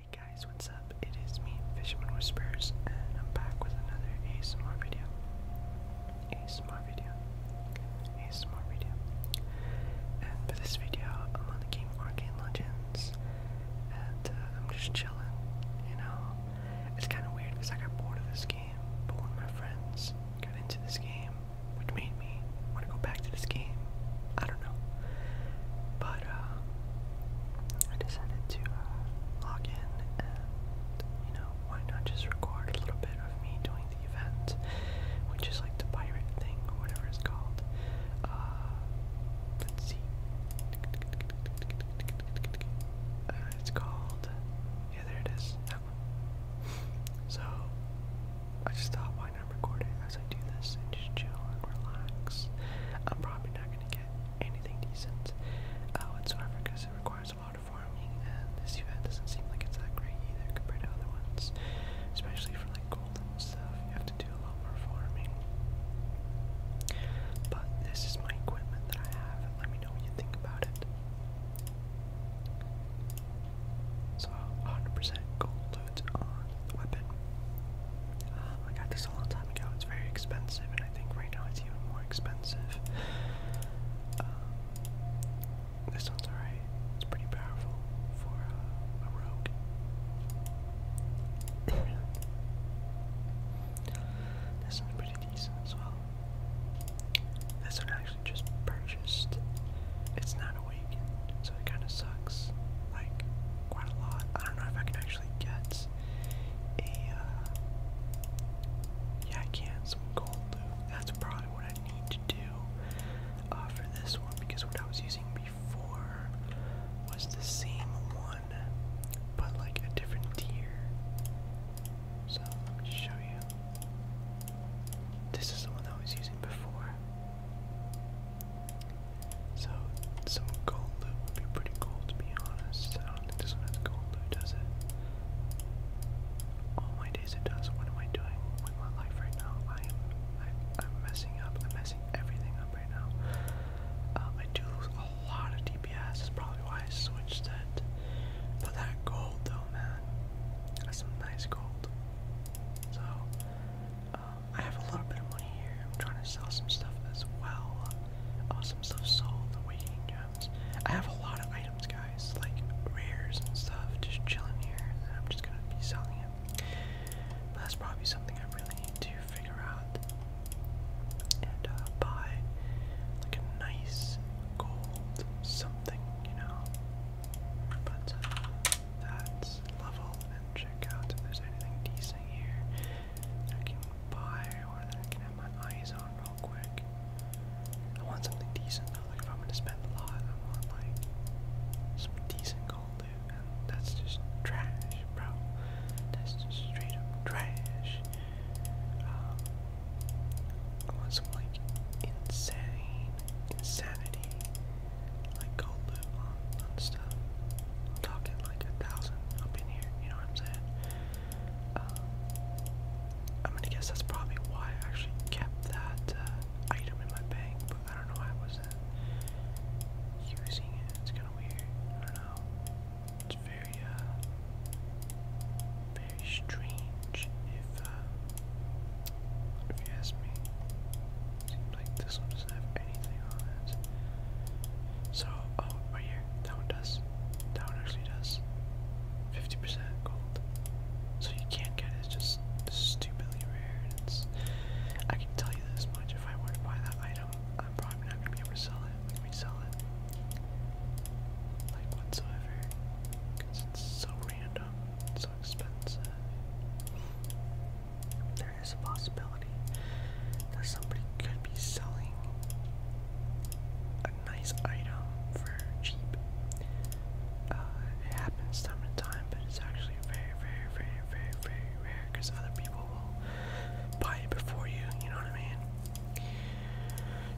Hey guys, what's up? It is me, Fisherman Whispers, and I'm back with another ASMR video. ASMR video. ASMR video. And for this video, I'm on the game Arcane Legends house, and uh, I'm just chilling. You know, it's kind of weird because I got bored of this game, but one of my friends got into this game, which made me want to go back to this game. I don't know, but um, I decided to uh, log in and you know why not just record a little bit of me doing the event, which is like the pirate thing or whatever it's called. Uh, let's see. Uh, it's called. Yeah, there it is. So, I just thought, why not record it as I do this and just chill and relax? I'm probably not gonna get anything decent uh, whatsoever because it requires a lot of farming, and this event doesn't seem like it's that great either compared to other ones, especially for like stuff. You have to do a lot more farming. But this is my equipment that I have. Let me know what you think about it. So 100% gold loot on the weapon. Um, I got this a long time ago. It's very expensive, and I think right now it's even more expensive. Um, this one's alright. It's pretty powerful for uh, a rogue this one's pretty decent as well. This one I actually just purchased. It's not awakened, so it kind of sucks like quite a lot. I don't know if I can actually get a. Uh, yeah, I can some gold loot. That's probably what I need to do uh, for this one because what I was using before before was the same one, but like a different tier. So let me show you. This is the one I was using before. So some gold loot would be pretty cool to be honest. I don't think this one has gold loot, does it? All oh my days it does. What am I doing with my life right now? I am I, I'm messing up. I'm messing everything up right now. Um, I do lose a lot of DPS, That's probably why I switched that. But that gold though, man, that's some nice gold. So, um, I have a little bit of money here. I'm trying to sell some stuff as well. Awesome uh, stuff sold, awakening gems. I have a lot of items, guys, like rares and stuff, just chilling here, and I'm just gonna be selling it. But that's probably something I really need to to figure out and uh, buy like a nice gold something, you know. But uh, that's level and check out if there's anything decent here that I can buy or that I can have my eyes on real quick. I want something decent though, like if I'm gonna spend a lot, I want like some decent gold that's just trash, bro. That's just straight up trash. Um, I some like insane insanity. Like go live on, stuff. I'm talking like a thousand up in here, you know what I'm saying? Um, I'm gonna guess that's probably why I actually kept that uh, item in my bank, I don't know why I was using it. It's kind of weird. I don't know. It's very, uh, very strange if, uh, if you ask me. like this one doesn't have anything on it. So, oh, right here. That one does. That one actually does. 50% gold. So you can't get it. It's just stupidly rare. And it's, I can tell you this much. If I were to buy that item, I'm probably not gonna be able to sell it, like resell it, like whatsoever, because it's so random, so expensive. There is a possibility that somebody could be selling a nice item for cheap. Uh, it happens time to time, but it's actually very, very, very, very, very rare because other people will buy it before you, you know what I mean?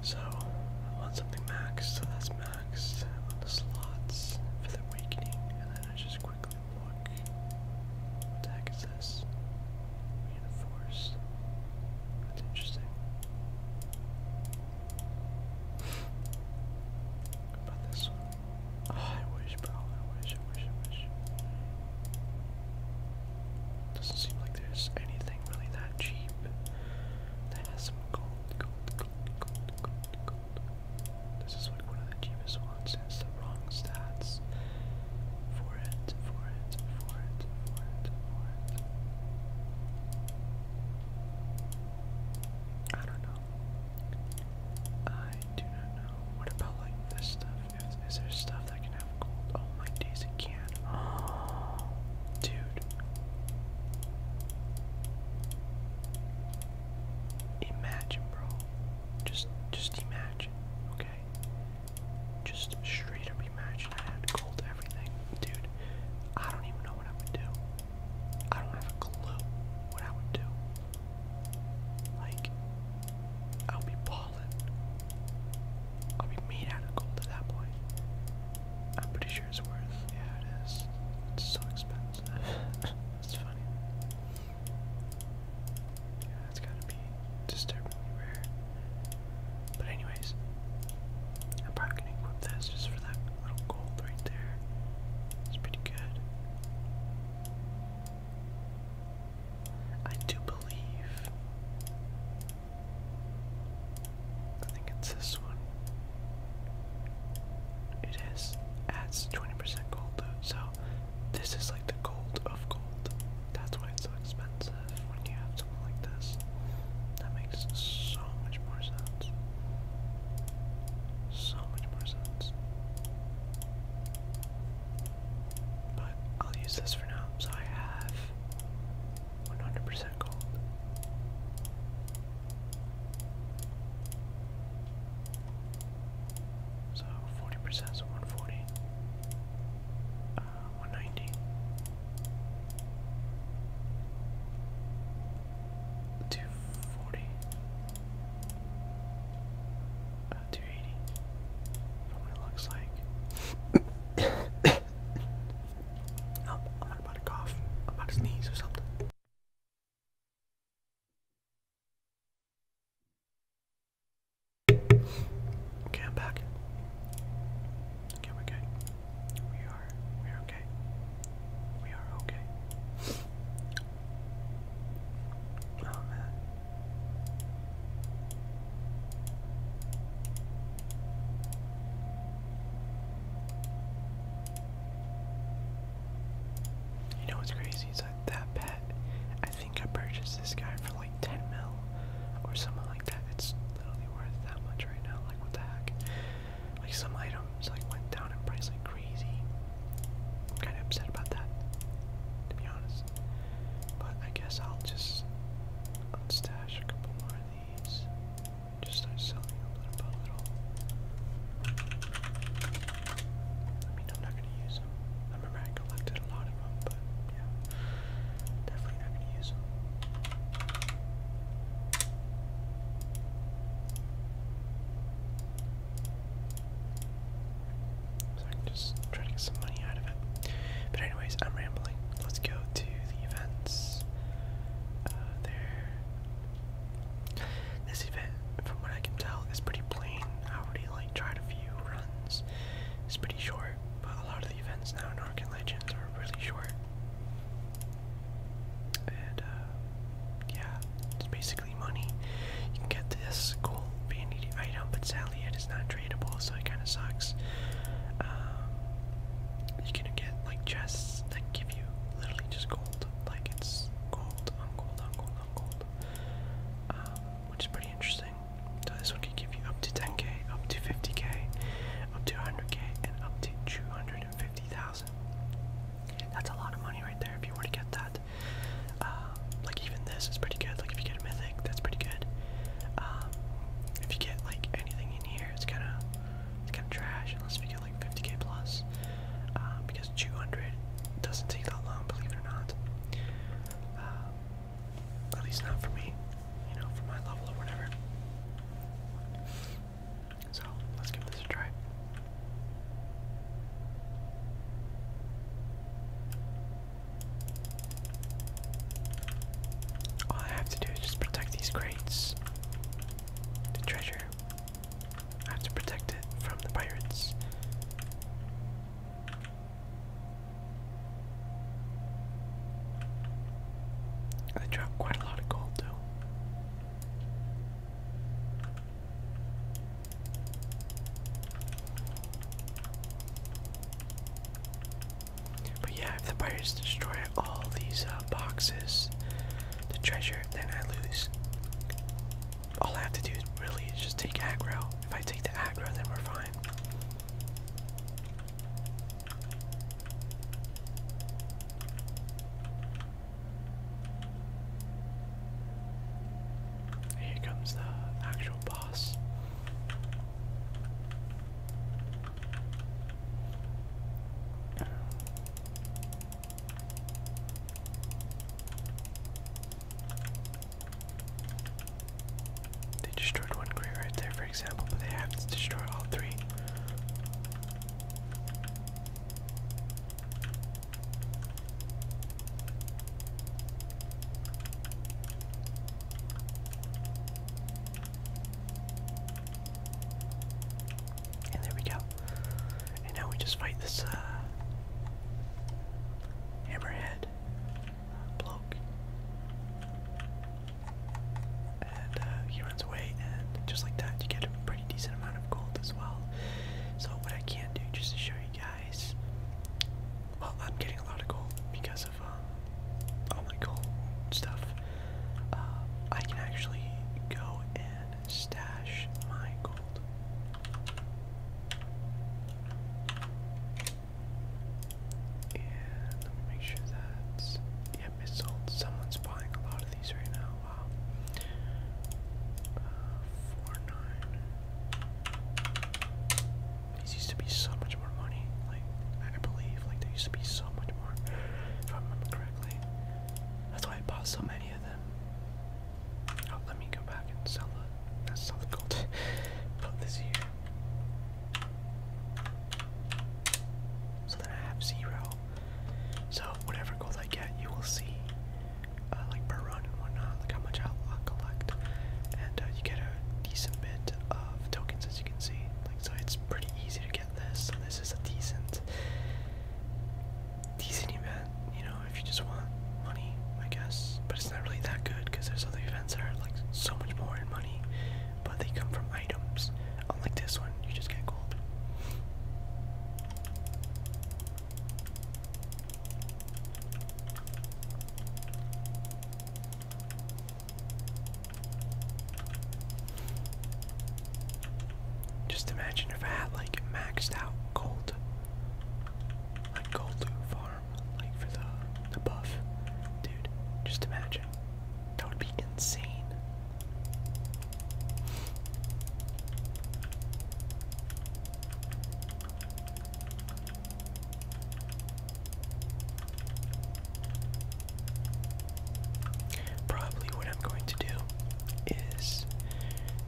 So, I want something maxed, so that's maxed. I want the slots for the awakening, and then I just quickly look. What the is this? Reinforce. That's interesting. about this one? Oh, I wish, bro. I wish, I wish, I wish. Doesn't seem like there's anything really that cheap that has some gold, gold, gold, gold, gold, gold. This is like one of the cheapest ones. It's the wrong stats. For it, for it, for it, for it, for it. I don't know. I do not know. What about like this stuff? my is there stuff that can have gold? Oh my days, it can. Oh, dude. Imagine, bro. Just, just imagine, okay? Just straight up imagine I had gold everything. Dude, I don't even know what I would do. I don't have a clue what I would do. Like, I'll be balling. I'll be made out of gold at that point. I'm pretty sure it's worth. Yeah, it is. It's so expensive. it's funny. Yeah, that's gotta be disturbingly rare. But anyways, I'm probably gonna equip this just for that little gold right there. It's pretty good. I do believe. I think it's this one. It is. Adds 20% gold though. So this is like the gold of gold. That's why it's so expensive when you have something like this. That makes so much more sense. So much more sense. But I'll use this for now, so I have 100% gold. So 40% so 140. Uh, 190. Two forty. About 280 what it looks like. oh, I'm about to cough. about to sneeze or something. Okay, I'm back. Okay, we're good. We are, we're okay. We are okay. Oh man. You know what's crazy is that that pet, I think I purchased this guy for like 10 mil or something like that. It's literally worth that much right now. Like, what the heck? Like, some items like went down in price like crazy. I'm kind of upset about that, to be honest. But I guess I'll just unstash a couple more of these. Just start selling them little a little. I mean, I'm not going to use them. I remember I collected a lot of them, but yeah, definitely not going to use them. So I just try to get some money out of it. But anyways, I'm rambling. Let's go to the events. Uh, there. This event, from what I can tell, is pretty plain. I already like tried a few runs. It's pretty short, but a lot of the events now in Arkham Legends are really short. And uh, yeah, it's basically basically money. You can get this cool vanity item, but sadly it is not tradable, so it kind of sucks. Um, you can get like chests that give you literally just gold, like it's gold on gold on gold on gold, um, which is pretty interesting. So this one can give you up to 10k, up to 50k, up to 100k, and up to 250,000. That's a lot of money right there if you were to get that. Um, like even this is pretty good. Like if you get a mythic, that's pretty good. Um, if you get like anything in here, it's kind of it's kind of trash unless we get like 50k plus. Um, because 200 doesn't take that long, believe it or not. at least not for me, you know, for my level or whatever. So let's give this a try. All I have to do is just protect these crates. The treasure. I have to protect it from the pirates. I dropped quite a lot of gold though. But yeah, if the pirates destroy all these uh, boxes, the treasure, then I lose. All I have to do really is just take aggro. If I take the aggro, then we're fine. Here comes the actual boss. They destroyed one grave right there, for example, but they have to destroy all three. And there we go. And now we just fight this uh, hammerhead uh, bloke. And uh, he runs away, and just like that, you get a pretty decent amount of gold as well. So, what I can do, just to show you guys. Well, I'm getting a lot of gold because of um, all my gold stuff. Uh, I can actually go and stash my gold. And let me make sure that's yeah, it's sold. Someone's buying a lot of these right now. Wow. Uh, four nine. These used to be so much more money. Like I believe, like there used to be so much more, if I remember correctly. That's why I bought so many of them. Oh, let me go back and sell the, sell the gold, put this here. So then I have zero. So whatever gold I get, you will see uh, like per run and whatnot, like how much i collect, and uh, you get a decent bit of tokens as you can see. Like so, it's pretty easy to get this. So this is a decent, decent event. You know, if you just want money, I guess. But it's not really that good because there's other events that are like so much more in money, but they come from items. Unlike this one, you just get gold. Just imagine if I had like maxed out gold, like gold farm, like for the the buff, dude. Just imagine, that would be insane. Probably what I'm going to do is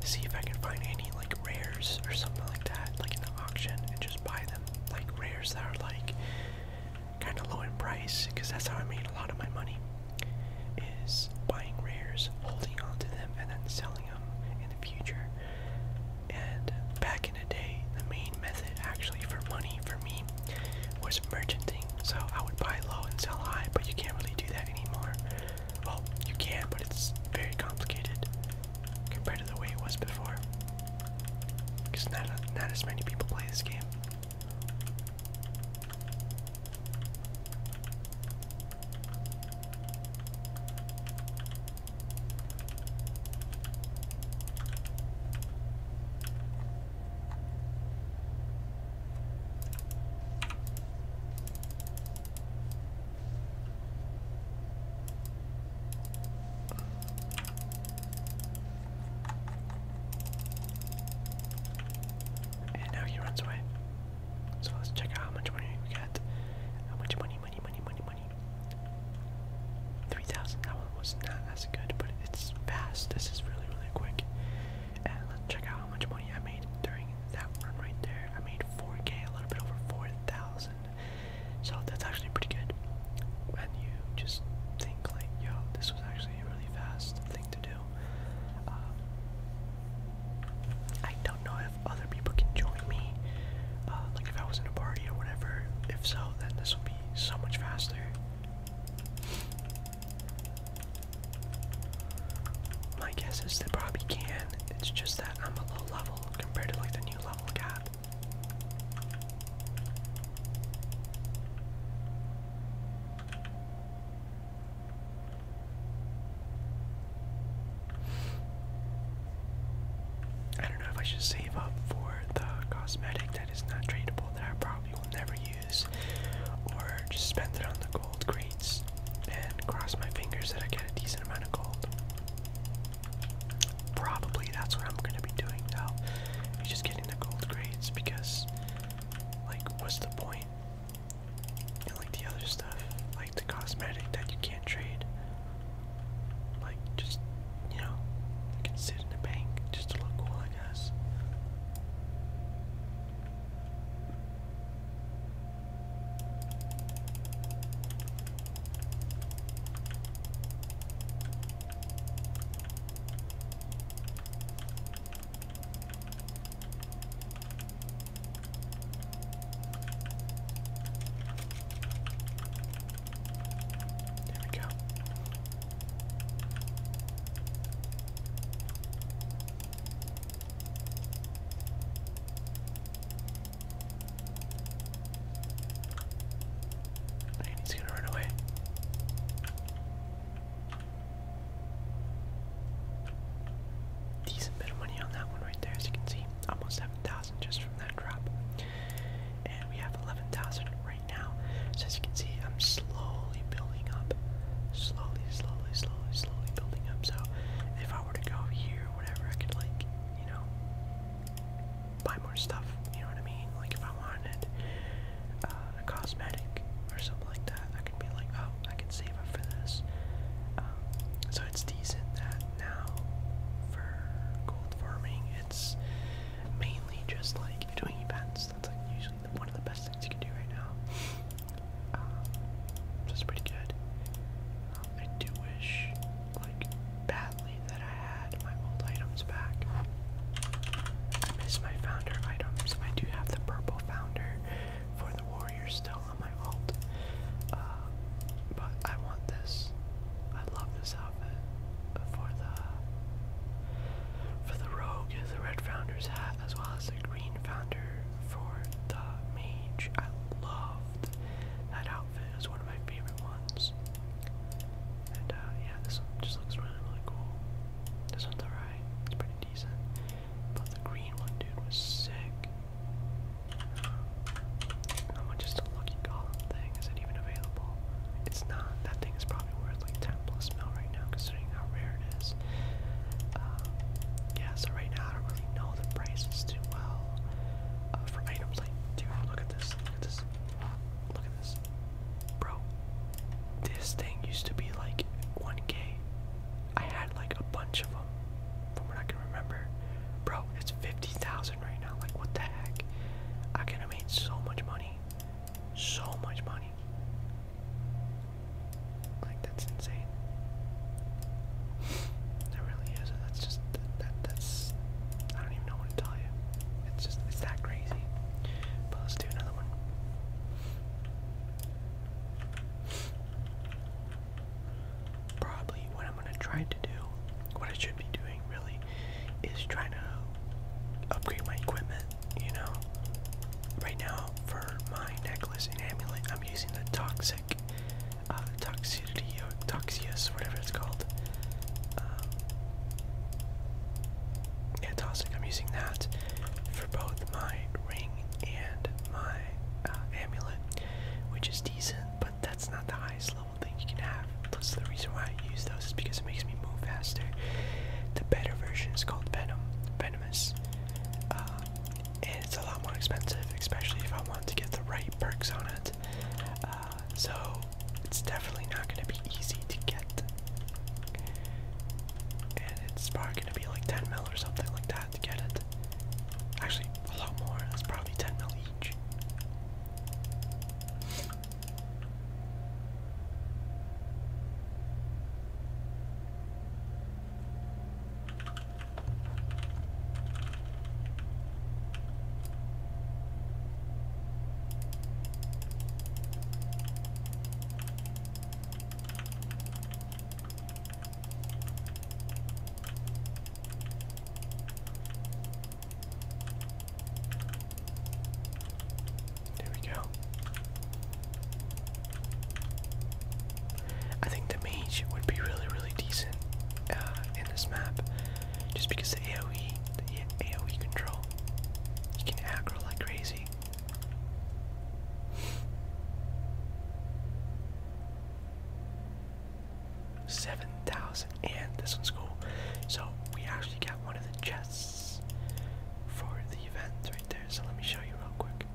see if I can find any like rares or something like that, like in the auction, and just buy them like rares that are like kind of low in price, because that's how I made a lot of my money. Is buying rares, holding on to them, and then selling them in the future. And back in the day, the main method actually for money for me was merchanting. So I would buy low and sell high, but you can't really do that anymore. Well, you can, but it's very complicated compared to the way it was before. Because not, not as many people play this game. And now he runs away. So let's check out how much money we got, how much money money, money, money, money. 3,000, that one was not as good, but it's fast. This is really, really quick. And let's check out how much money I made during that run right there. I made 4K, a little bit over 4,000. So that's actually pretty good. And you just think like, yo, this was actually a really fast thing to do. Um, I don't know other people can join me, uh, like if I was in a party or whatever. If so, then this will be so much faster. My guess is they probably can. It's just that I'm a low level compared to like the new level gap. I don't know if I should save up for the cosmetic that is not tradable that I probably will never use, or just spend it on the gold crates and cross my fingers that I get a decent amount of gold. Probably that's what I'm gonna be doing now. just getting the gold grades because, like, what's the point? And like the other stuff, like the cosmetic that you can't trade. Like, just, you know, you can sit in the bank just to look cool, I guess. There we go. he's gonna run away. Decent bit of money on that one right there, as you can see. Almost $7,000 thousand just from that drop. And we have eleven thousand right now. So as you can see, I'm slowly building up, slowly, slowly, slowly, slowly building up. So if I were to go here or whatever, I could like, you know, buy more stuff. You know what I mean? Like if I wanted uh, a cosmetic or something like that, I could be like, oh, I can save up for this. Um, so it's decent that now for gold farming, it's mainly just like doing events. That's like usually one of the best things you can do right now. Um, pretty good. Um, I do wish, like, badly that I had my old items back. I miss my founder items. I do have the purple founder for the warrior still, my alt. Uh, but I want this. I love this outfit for the for the rogue, the red founder's hat, as well as the green founder for the mage. I loved that outfit. It was one of my favorite ones. And uh, yeah, this one just looks really, really cool. This one's alright. It's pretty decent. But the green one, dude, was sick. How much is the lucky golem thing? Is it even available? It's not. That thing is probably worth like 10 plus mil right now, considering how rare it is. Um, yeah, so right now I don't really know the prices too well uh, for items like, dude, look at this, look at this, look at this. Bro, this thing used to be like 1k. I had like a bunch of them, from what I can remember. Bro, it's $50,000 right now. Like what the heck? I could have made so much money. So much money. Like that's insane. that really is. That's just that that's I don't even know what to tell you. It's just it's that crazy. But let's do another one probably what I'm gonna try to do, what I should be doing really, is trying to upgrade my equipment, you know? Right now, for my necklace and amulet, I'm using the toxic, uh, toxicity, or toxius, whatever it's called. Um, yeah, toxic, I'm using that for both my ring and my uh, amulet, which is decent, but that's not the highest level highest level thing you can have. Plus, the reason why I use those is because it makes me move faster. The better version is called Venom, Venomous, uh, and it's a lot more expensive, especially if I want to get the right perks on it. Uh, so it's definitely not going to be easy to get, and it's probably going to be like 10 mil or something like that to get it. Actually, a lot more. That's probably 10 mil each. There we go. I think the mage would be really, really decent uh, in this map, just because the AOE, the AOE control, you can aggro like crazy seven thousand. And this one's cool. So we actually got one of the chests for the event right there. So let me show you real quick.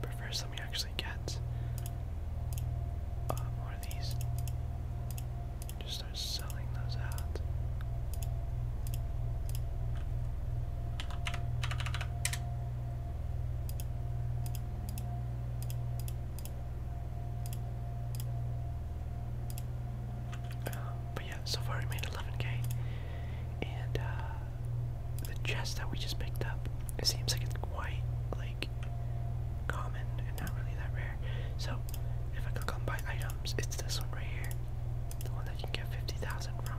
But first, let me actually get uh, more of these. Just start selling those out. But yeah, so far we made 11k, and uh, the chest that we just picked up, it seems like it's quite like common and not really that rare. So if I click on buy items, it's this one right here, the one that you can get 50,000 from.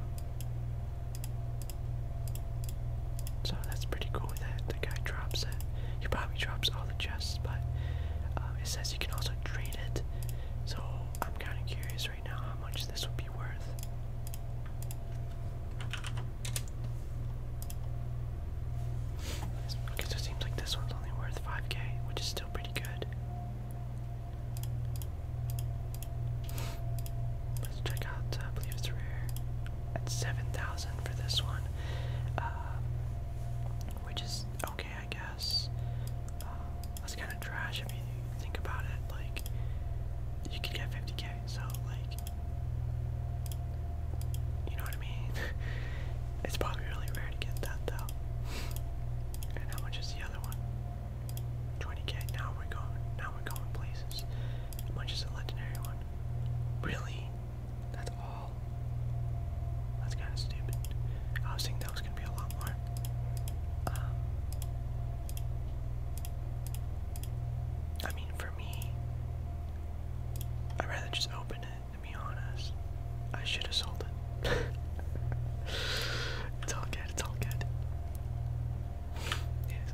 So that's pretty cool that the guy drops it. He probably drops all the chests, but um, it says you can also trade it. So I'm kind of curious right now how much this would be worth. Okay, so it seems like this one's only worth 5k, which is still pretty good. Let's check out, uh, I believe it's rare. That's 7,000 for this one. Um, which is okay, I guess. Um, that's kind of trash if you think about it. Like, you could get 50k, so, like, you know what I mean? it's probably really rare to get that, though. and how much is the other one? 20k. Now we're going. Now we're going places. How much is the legendary one? Really? That's all. That's kind of stupid. I was thinking that was gonna be a lot more. Um, I mean, for me, I'd rather just open it. To be honest, I should have sold it. it's all good. It's all good. It is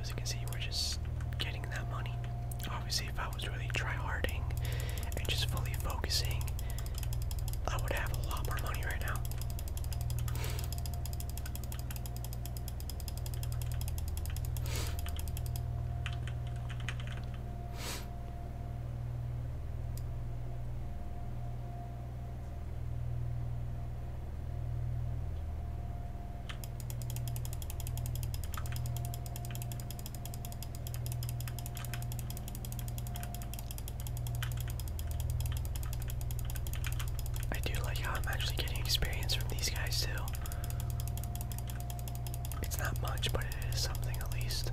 as you can see, we're just getting that money. Obviously, if I was really tryharding and just fully focusing, I would have a lot more money right now. I do like how I'm actually getting experience from these guys too. It's not much, but it is something at least.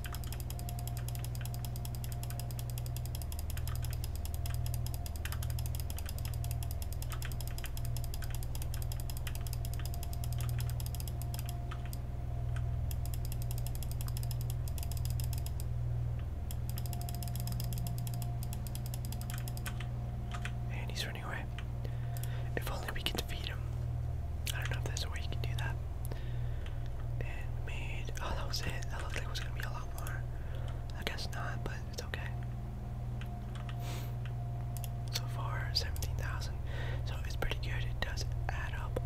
And he's running away. If only we could defeat him. I don't know if there's a way you can do that. And made, oh that was it, that looked like it was gonna be a lot more. I guess not, but it's okay. So far, 17,000. So it's pretty good, it does add up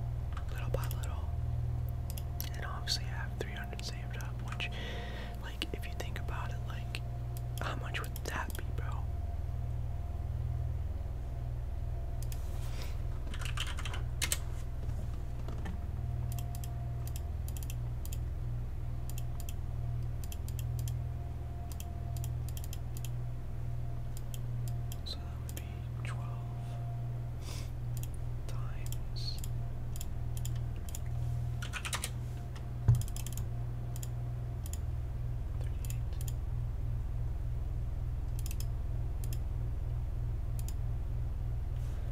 little by little. And obviously I have 300 saved up, which, like, if you think about it, like, how much would that be, bro? So that would be twelve times thirty-eight.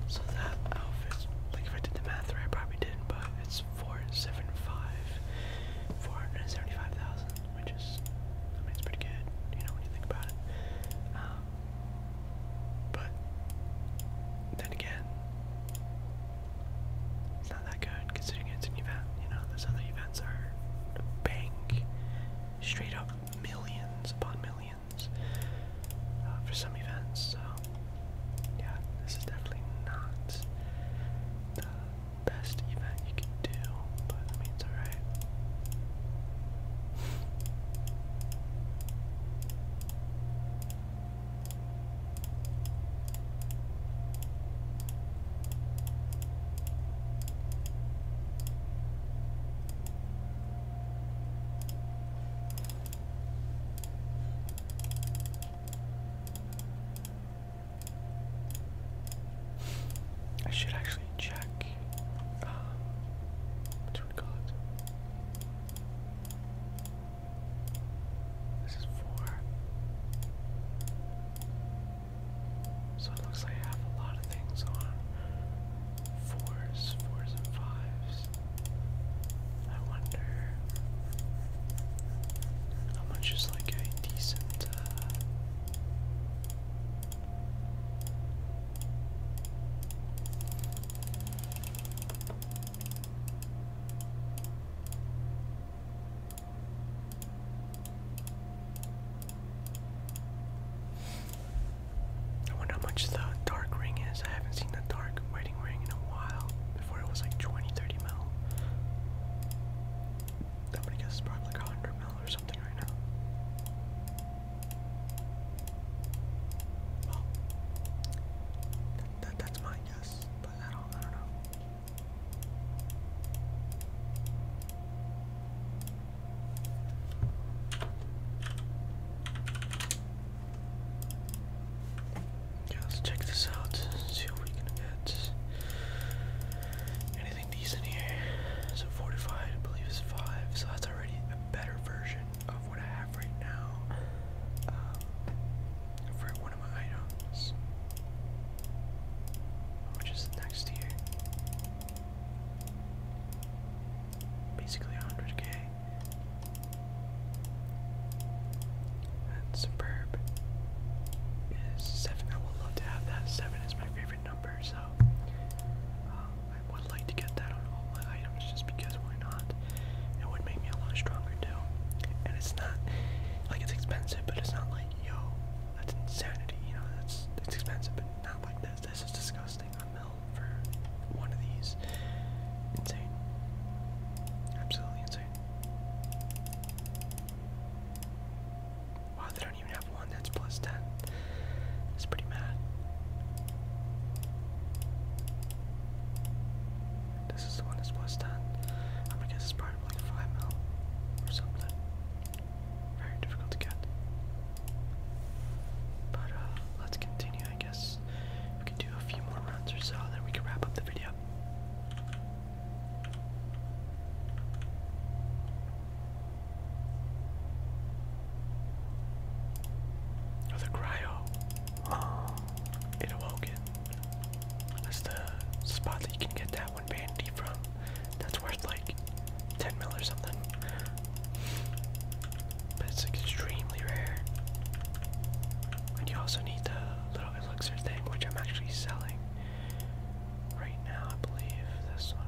So that outfit's like if I did the math right, I probably didn't, but it's four seven five, four hundred and seventy five thousand, which is I mean it's pretty good, you know, when you think about it. Um, but then again, it's not that good considering it's an event. You know, those other events are bank, straight up millions upon millions. Uh, for some events. So yeah, this is definitely not the best event you can do, but I mean it's alright. I should actually check. Um, what we call it? This is four. So it looks like I have a lot of things on fours, fours and fives. I wonder how much is like a decent uh, I wonder how much the dark ring is. I haven't seen the dark wedding ring in a while. Before it was like 20, 30 mil. That would guess it's probably like 100 mil or something right now. that, that's my guess, but I do I don't know let's check this out. See what we can get. Anything decent here? So fortified, I believe, is five. So that's already a better version of what I have right now um, for one of my items. Which next here? basically 100k. And Superb is 7. I would love to have that. 7 is my favorite number, so um, I would like to get that on all my items just because why not? It would make me a lot stronger too. And it's not, like, it's expensive, but it's not like, yo, that's insanity, you know, that's it's expensive, but not like this. This is disgusting for one of these. Insane. Absolutely insane. Wow, they don't even have one that's plus 10. That's pretty mad. This is the one that's plus 10. I'm gonna guess it's probably like 5 mil or something. Very difficult to get. But uh, let's continue, I guess. We can do a few more rounds or so, then we can wrap up the video. Oh, cryo. it awoke it. That's the spot that you can get that one bandy from worth like 10 mil or something. But it's like extremely rare. And you also need the little elixir thing, which I'm actually selling right now, I believe. This one.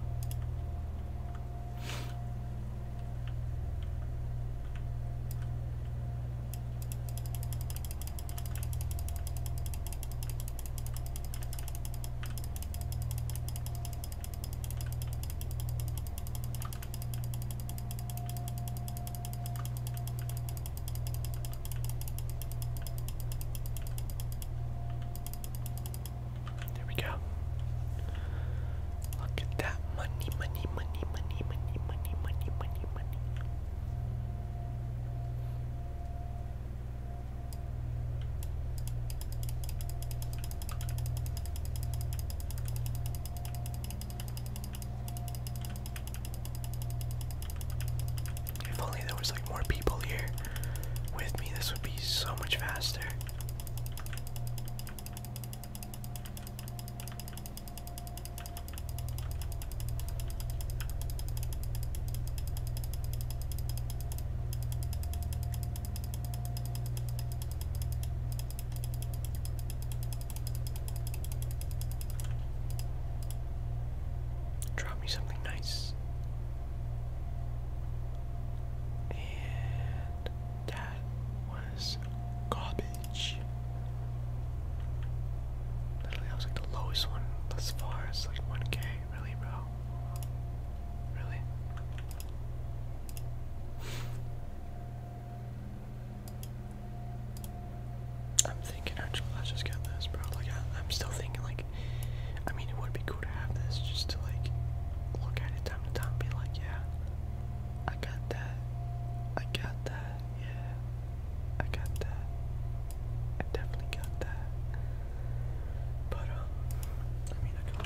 There we go. Look at that money, money, money, money, money, money, money, money, money. If only there was like more people here with me, this would be so much faster. Drop me something nice. And that was garbage. Literally, that was like the lowest one thus far. It's like 1k. Really, bro? Really? I'm thinking actually let just get this, bro. Like I, am still thinking like, I mean it would be cool to have this just to like look at it time to time, be like, yeah, I got that, I got that, yeah, I got that, I definitely got that. But um, I mean I can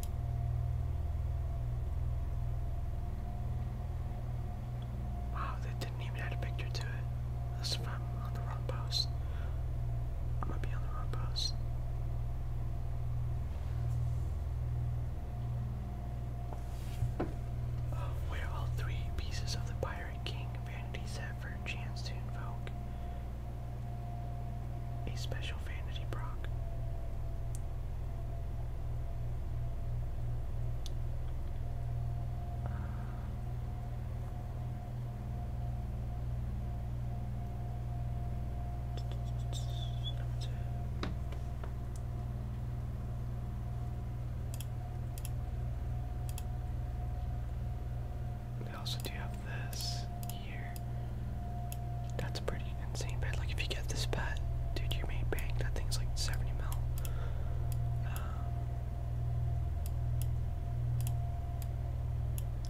Wow, they didn't even add a picture to it. That's if I'm on the wrong post. I'm gonna be on the wrong post. Oh, where all three pieces of the Pirate King vanities have for a chance to invoke a special vanity Brock. We also do have this here. That's pretty insane pet. Like if you get this pet, dude, you may bank. That thing's like 70 mil. Um,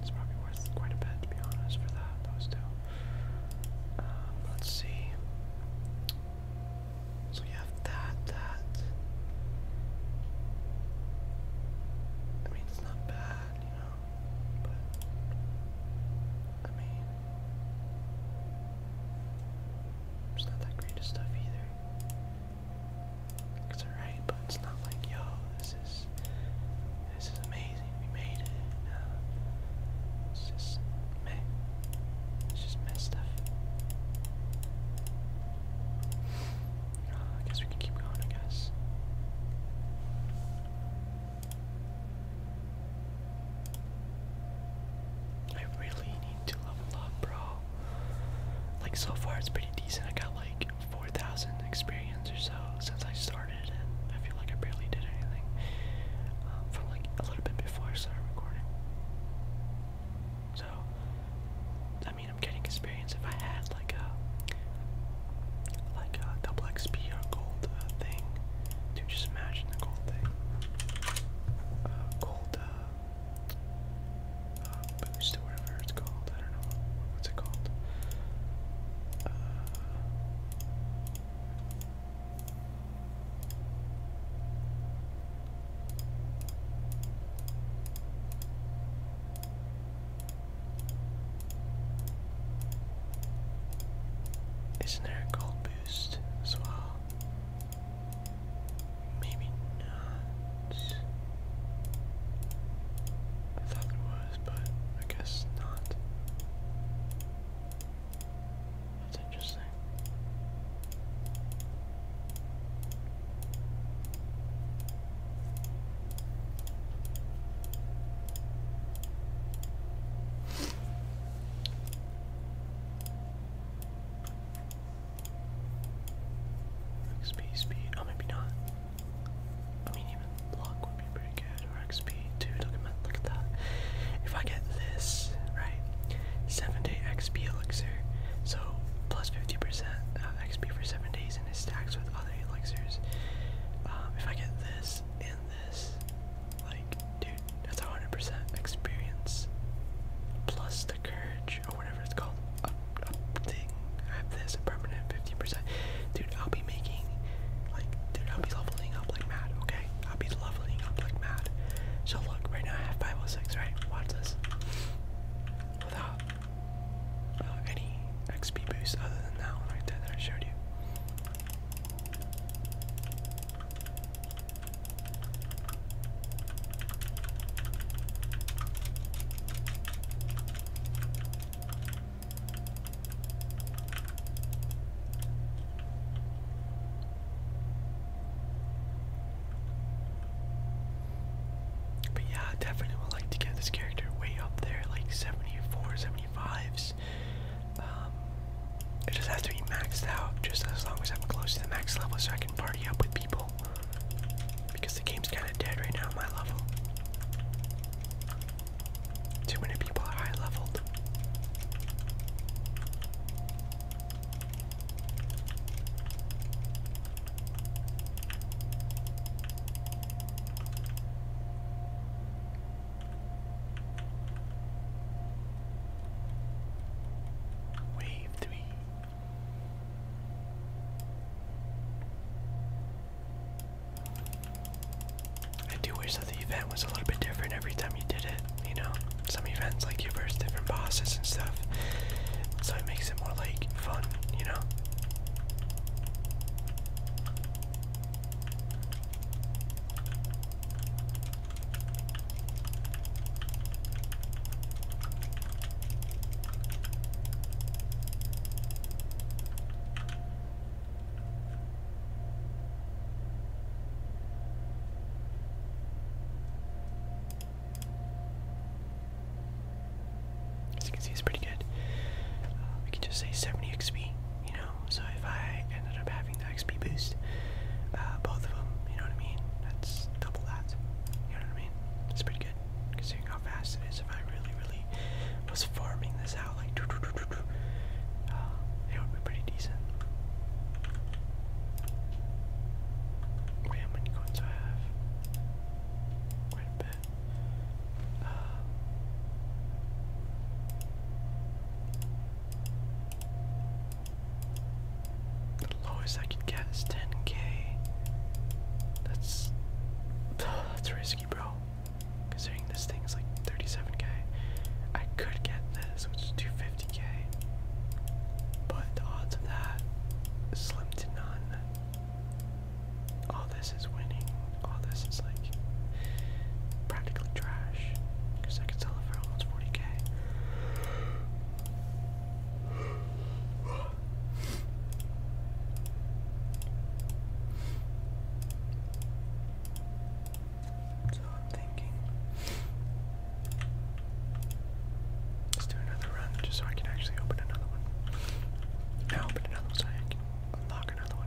it's probably worth quite a bit to be honest for that, those two. Um, let's see. So you have that, that. I mean, not bad, you know but I mean, it's not that great of stuff either. It's alright, but it's not like yo, this is this is amazing. We made it. it's just It's just meh stuff. Uh, I guess we can keep going. I guess. I really need to level up, bro. Like, so far it's pretty decent. I got like 4,000 experience or so since I started, and I feel like I barely did anything um, from like a little bit before I started recording. So, I mean, I'm getting experience. If I had like a like a double XP or gold uh, thing. Dude, just imagine the gold thing. Uh, gold uh, uh, boost or whatever it's called. I don't know what's it called. Uh, isn't there a gold boost as well? Maybe not. I thought there was, but I guess not. That's interesting. XP speed, oh maybe not. I mean even block would be pretty good, or XP dude, look at, my, look at that. If I get this, right, 7 day XP elixir, so plus 50% uh, XP for 7 days and it stacks with other elixirs. Um, if I get this, this. Like, dude, that's 100% experience. Plus the courage, or whatever it's called. Up, up thing. I have this, permanent 50%. Dude, I'll be making, like, dude, I'll be leveling up like mad, okay? I'll be leveling up like mad. So look, right now I have 506, right? Watch this. Without uh, any XP boost other than that one right there that I showed you. But yeah, I definitely would like to get this character way up there, like 74, 75s. Um, it doesn't to be maxed out, just as long as I'm close to the max level so I can party up with people. Because the game's kind of dead right now at my level. Too many people are high leveled. Wave three. I do wish that the event was a little bit different every time you did it, you know? Some events like you versus different bosses and stuff. So it makes it more like fun, you know? As you can see, it's pretty good. Uh, we can just say 70 XP, you know, so if I ended up having the XP boost, uh, both of them, you know what I mean? That's double that. You know what I mean? It's pretty good considering how fast it is. If I really, really was farming this out, like, uh, it would be pretty decent. how many coins I have? Quite a bit lowest I could get is 10k. That's that's risky, bro. Considering this thing is like 37k. I could get this, which is 250k. But the odds of that slim to none all this is winning, all this is like practically trash because I could sell it for 40k. So I'm thinking, let's do another run just so I can actually open another one. I open another one unlock another one.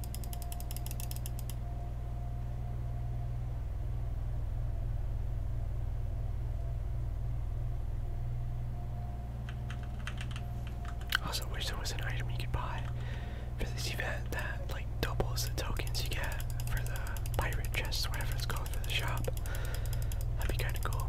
Also wish there was an item you could buy for this event that like doubles the tokens you get for the pirate chest, whatever it's called for the shop. That'd be kinda cool.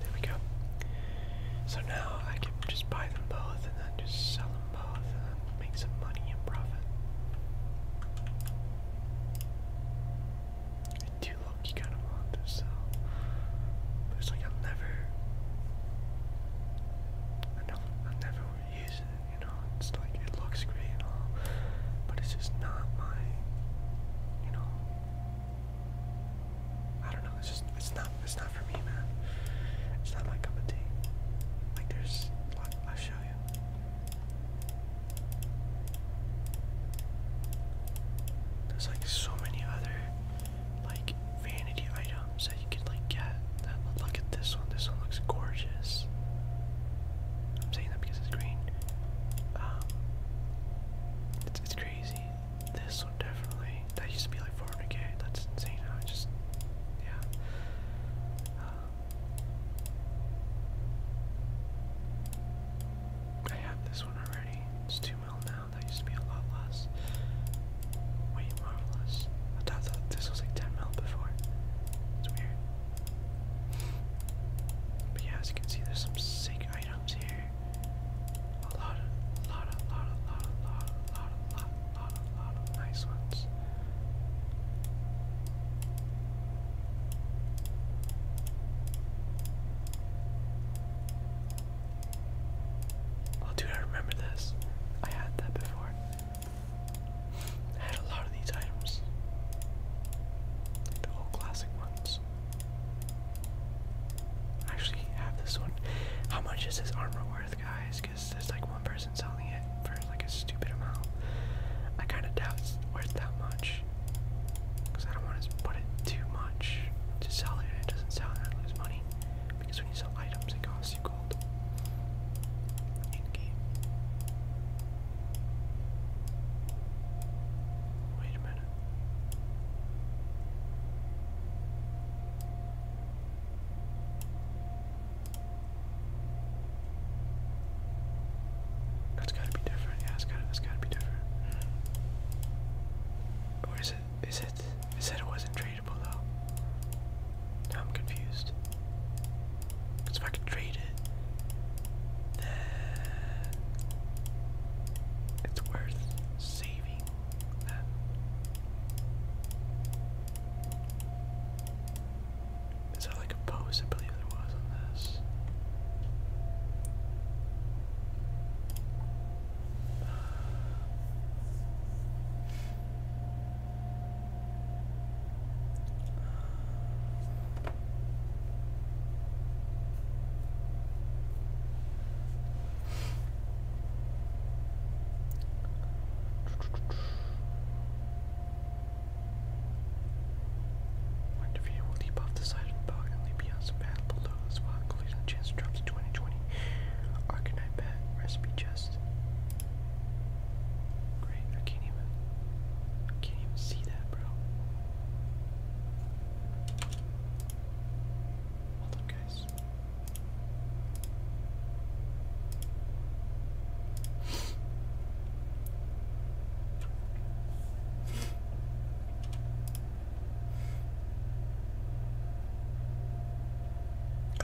There we go. So now I can just buy them both and then just sell them both and make some money and profit. I do look kinda want to sell. But it's like I'll never I do I'll never use it, you know, it's like it looks great and all. But it's just not my you know I don't know. It's just it's not it's not for me, man. It's not my cup of tea. Like there's, I'll show you. There's like so many other like vanity items that you can like get. look at this one. This one looks gorgeous. I'm saying that because it's green. Um, it's, it's crazy. This one definitely. That used to be like 400k. That's insane. I just. Yeah. Um, I have this one already. It's 2 mil now. That used to be a lot less. Way marvelous. I thought this was like 10 mil before. It's weird. But yeah, as you can see, there's some sick items here. A lot a lot of, lot of, lot of, lot of, lot of, lot of, lot of, nice ones. Oh, dude, I remember this. I had that before. I had a lot of these items. the old classic ones actually have this one. How much is this armor worth, guys? Because there's like one person selling it for like a stupid amount. I kind of doubt it's worth that much. Because I don't want to put it too much to sell it it doesn't sell and I lose money. Because when you sell items, it costs you gold. In game. Wait a minute. That's gotta be different. Yeah, it's gotta, it's gotta be different. Or it? Is it? It said it wasn't tradable though. I'm confused. if I could trade it, that it's worth saving that. Is there like a post? I believe there was on this. When defeated, will leap off the side of the balcony and leap beyond some path below the spot, collision chance drops to 2020. Arcanite bat, recipe chest. Great, I can't even I can't even see that, bro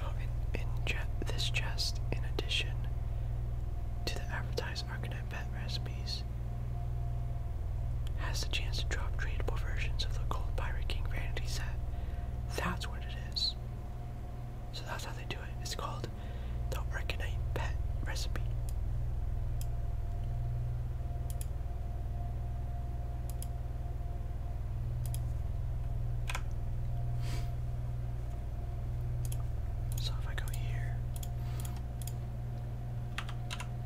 oh, in in this chest, in addition to the advertisement. Enterprise Pet Recipes has the chance to drop tradable versions of the Gold Pirate King Vanity set. That's what it is. So that's how they do it. It's called the Arcanite Pet Recipe. So if I go here,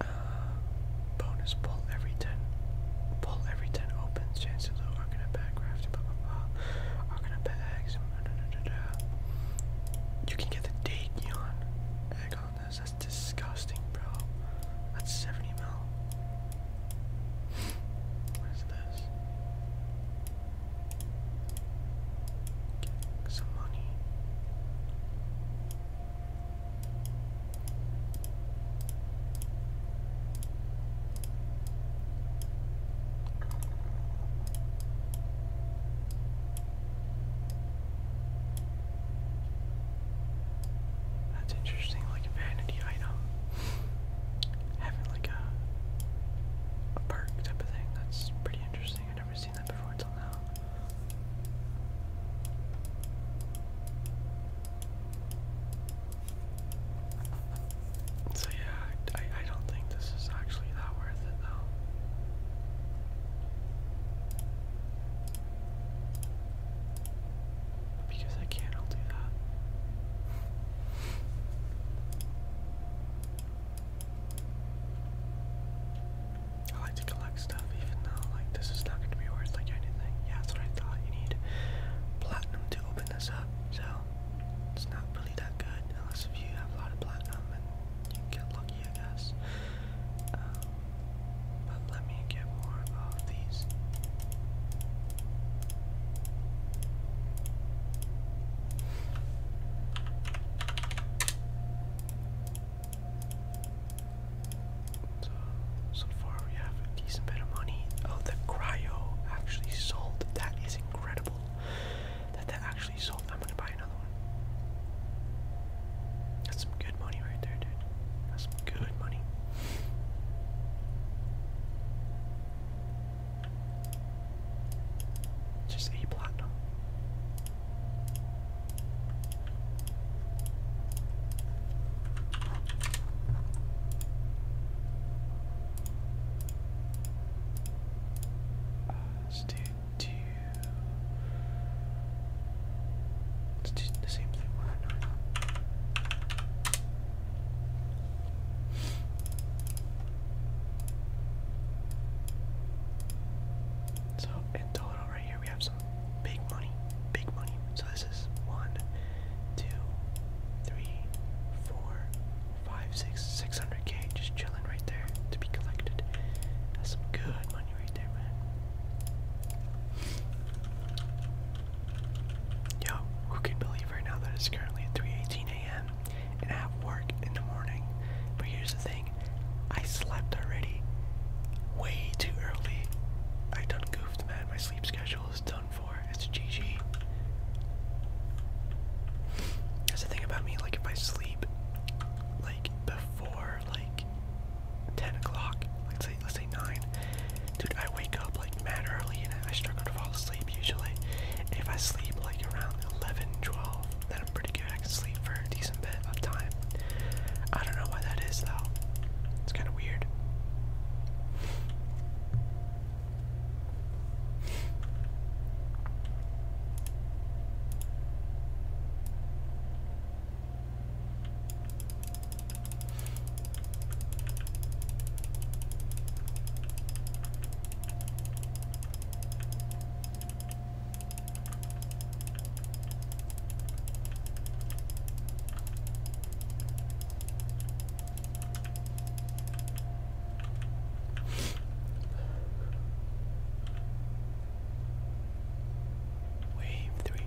Uh, bonus pull every ten. Pull every ten opens. Chances of Arcana Bat Crafting. Blah blah blah. Arcana Bat Eggs. Da, da, You can get the date yawn egg on this. That's disgusting, bro. That's 70 mil. what is this? Get some money. That's interesting, like a vanity item. Having like a a perk type of thing. That's pretty interesting. I never so yeah, I, I don't think this is actually that worth it though. Because I can't all do that. I like to collect stuff, even though like this is not going to be worth like anything. Yeah, that's what I thought. You need platinum to open this up, so it's not really that good unless if you have a lot of platinum and you get lucky, I guess. Um, but let me get more of these. So, far we have a decent bit of money. Oh, the cryo actually sold. That is incredible. That that actually sold. I'm gonna buy another one. That's some good money right there, dude. That's some good money. Just a platinum. Uh, let's do let Let's do the same thing. Why not? So in total right here we have some big money, big money. So this is one, two, three, four, five, six, six hundred K just chilling right there to be collected. That's some good money right there, man. Yo, who can believe right now that it's currently 3:18 a.m. and I have work in the morning? But here's the thing. I slept already way too early. I done goofed, man. My sleep schedule is done for. It's GG. That's the thing about me. Like, if I sleep, like before, like ten o'clock, let say, let's say nine, dude, I wake up like mad early and I struggle to fall asleep usually. If I sleep like around 11, 12, then pretty good night's sleep for a decent bit of time. I don't know why that is though. It's kind of weird. Wave three.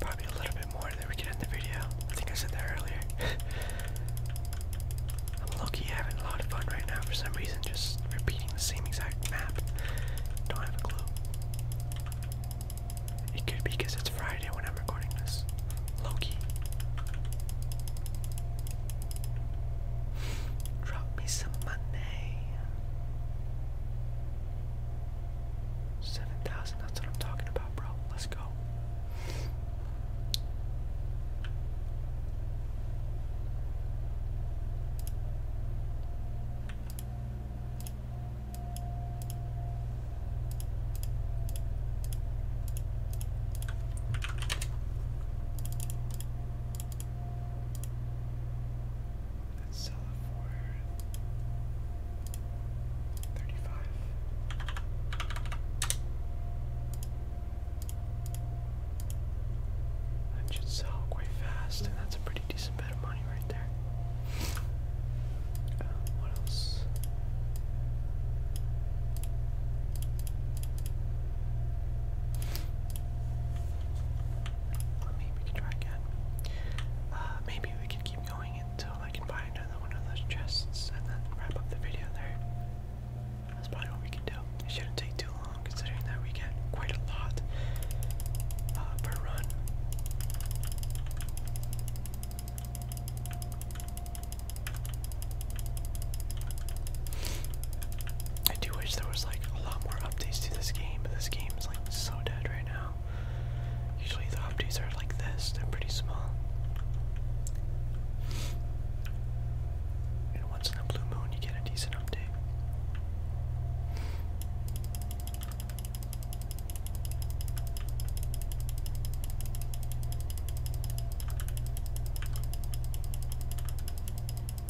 Probably a little bit more than we can end the video. I think I said that earlier. I'm low having a lot of fun right now for some reason, just repeating the same exact map. Don't have a clue. It could be because it's Friday when I'm recording this. low Drop me some money. 7,000, that's what I'm talking about, bro. Let's go sell for thirty-five. That should sell quite fast, and that's a pretty decent bit of money right there. Uh, what else? Maybe we could try again. Uh, maybe we could keep going until I can buy another one of those chests and then wrap up the video there. That's probably what we could do. It shouldn't take too long considering that we get quite a lot uh, per run. I do wish there was like a lot more updates to this game, but this game is like so dead right now. Usually the updates are like this, they're pretty small. And once in the blue moon you get a decent update.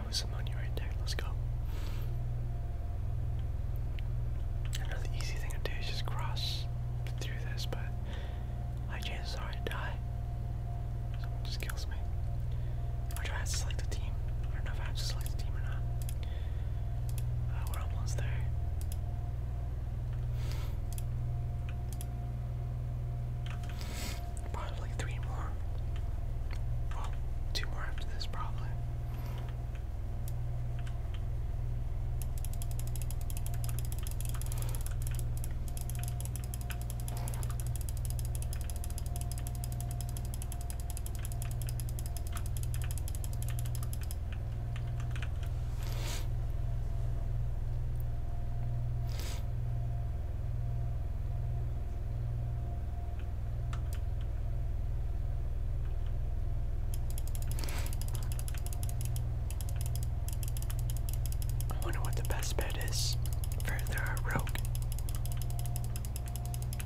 I was ammonia right there. Let's go. Another easy thing to do is just cross through this, but my chances are I die. just kills me. I have to select a team? I don't know if I have to select a team or not. Uh, we're almost there. Probably three more. Well, two more after this, probably. I wonder what the best bet is for their rogue.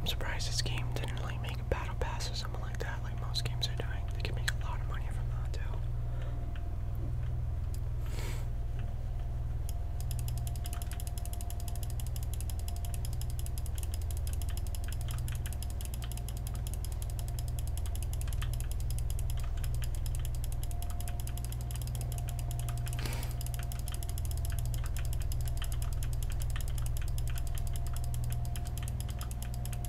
I'm surprised this game didn't like make a battle pass or something like that like most games are doing. They can make a lot of money from that, too.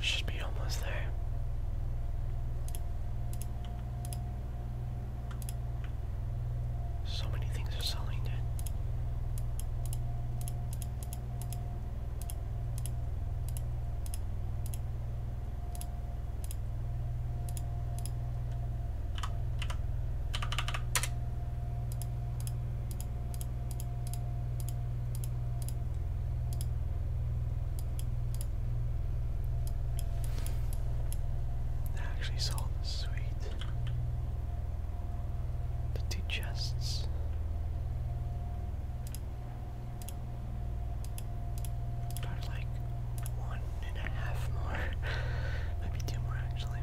Should be almost there. So many things are selling, dude. That actually sold the suite. The two chests. Probably like one and a half more. Maybe two more actually.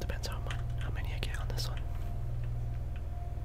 Depends how much, how many I get on this one.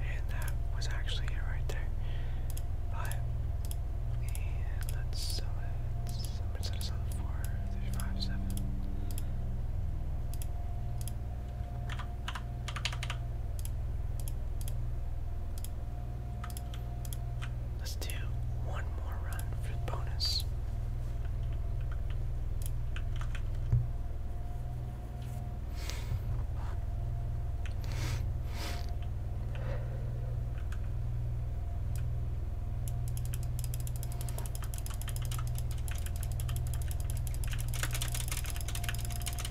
And that was actually it right there. But and let's sum it. i us on four, there's five, Let's do one more run for bonus.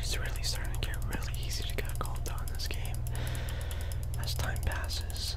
it's really starting to get really easy to get a gold on this game as time passes.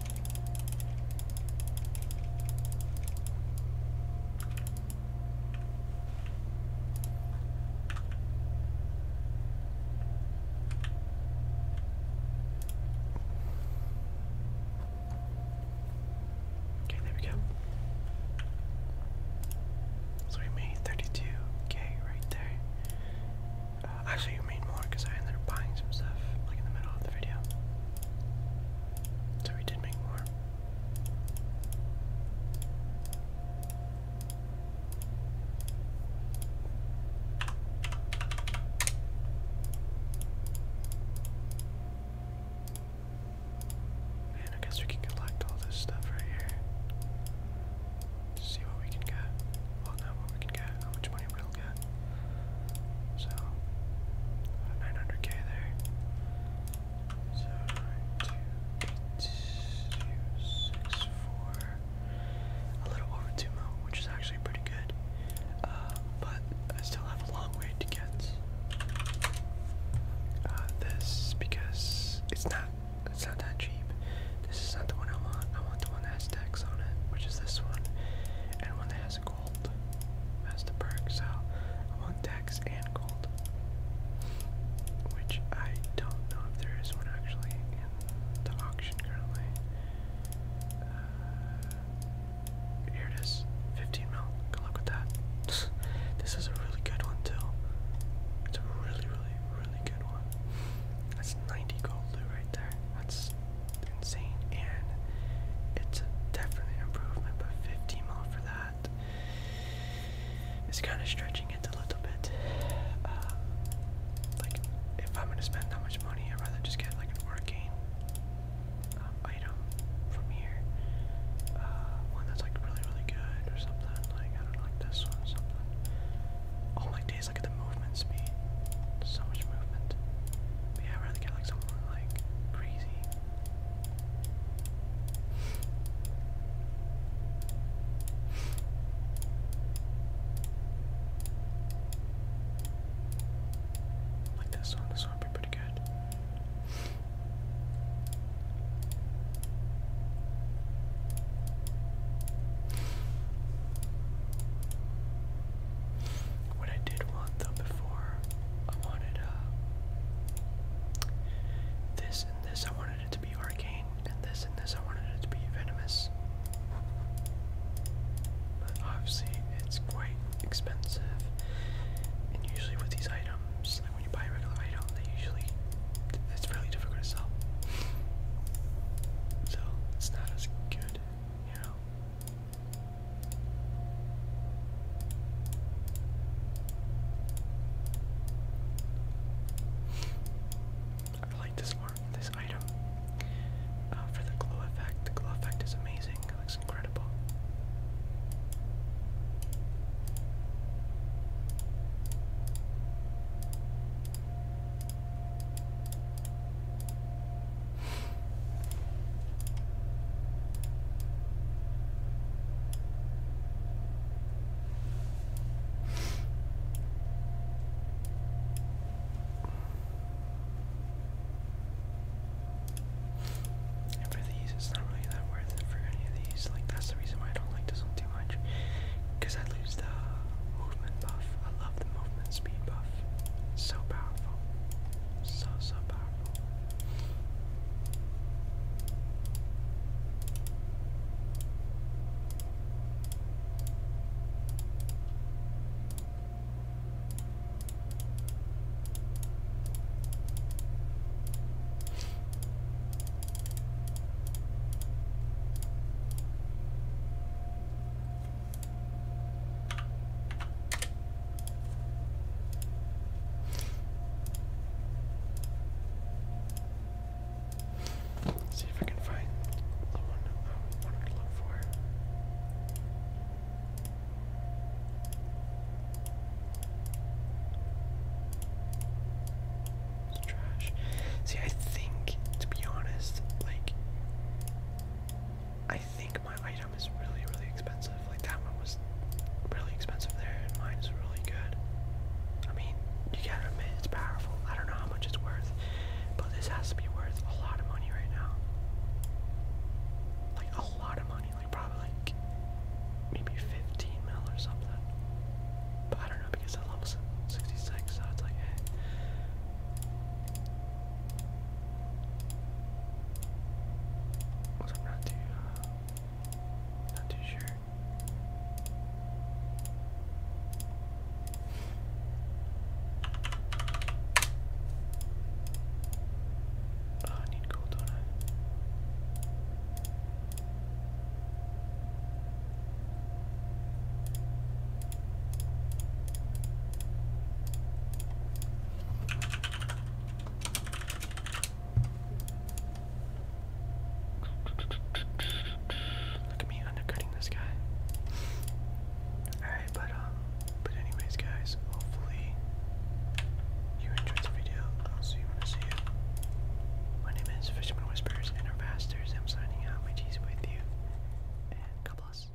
Okay, there we go. So we made 32 Okay, right there. Uh, actually, we made more because I ended up buying some stuff like in the middle of the video. So we did make more. And I guess we can collect all this stuff right here. See what we can get. Well, not what we can get, how much money we're got. So, 900k there. So, 2, A little over 2 mil, which is actually pretty good. Uh, but I still have a long way to get uh, this because it's not it's not that cheap. This is not the one I want. I want the one that has text on it, which is this one, and one that has gold. That's the so I want Dex and gold. Which I don't know if there is one actually in the auction currently. Uh, here it is, 15 mil. Good luck with that. this is a really good one too. It's a really, really, really good one. That's 90 gold loot right there. That's insane, and it's a definite improvement. But 15 mil for that is kind of stretching it a little bit. Um, like, if I'm gonna spend that much money, I'd rather just get like an arcane um, item from here. Uh, one that's like really, really good or something. Like, I don't like this one Oh my days, look at the movement speed. So much movement. yeah, I'd rather get like something like crazy. like this song, this one would be pretty good. What I did want though before, I wanted uh, this and this. I wanted it to be arcane, and this and this. I wanted it to be venomous. But obviously, it's quite expensive, and usually with these items, like when you buy a regular item, they usually it's really difficult to sell. So it's not as good, you know. I like this art, this item. Uh, for the glow effect, the glow effect is amazing. It looks incredible. And for these, it's not really that worth it for any of these. Like, that's the reason why I don't like this one too much. Because I lose the movement buff. I love the movement speed buff. It's so powerful. So, so powerful see if I can find the one I wanted to look for. It's trash. See, I think, to be honest, like, I think like my item is really, really expensive. Like that one was really expensive there, and mine is really good. I mean, you gotta admit it's powerful. I don't know how much it's worth, but this has to be worth a lot of money right now. Like a lot of money, like probably like maybe 15 mil or something. But I don't know because I level 66, so it's like, hey. Eh i I'm not too, uh, not too sure. Ah, I need gold, don't I? Look at me undercutting this guy. Alright, but um but anyways guys, hopefully you enjoyed the video. I'll see you when I My name is Fisherman Whispers and our masters. I'm signing out. My G's with you. And God bless.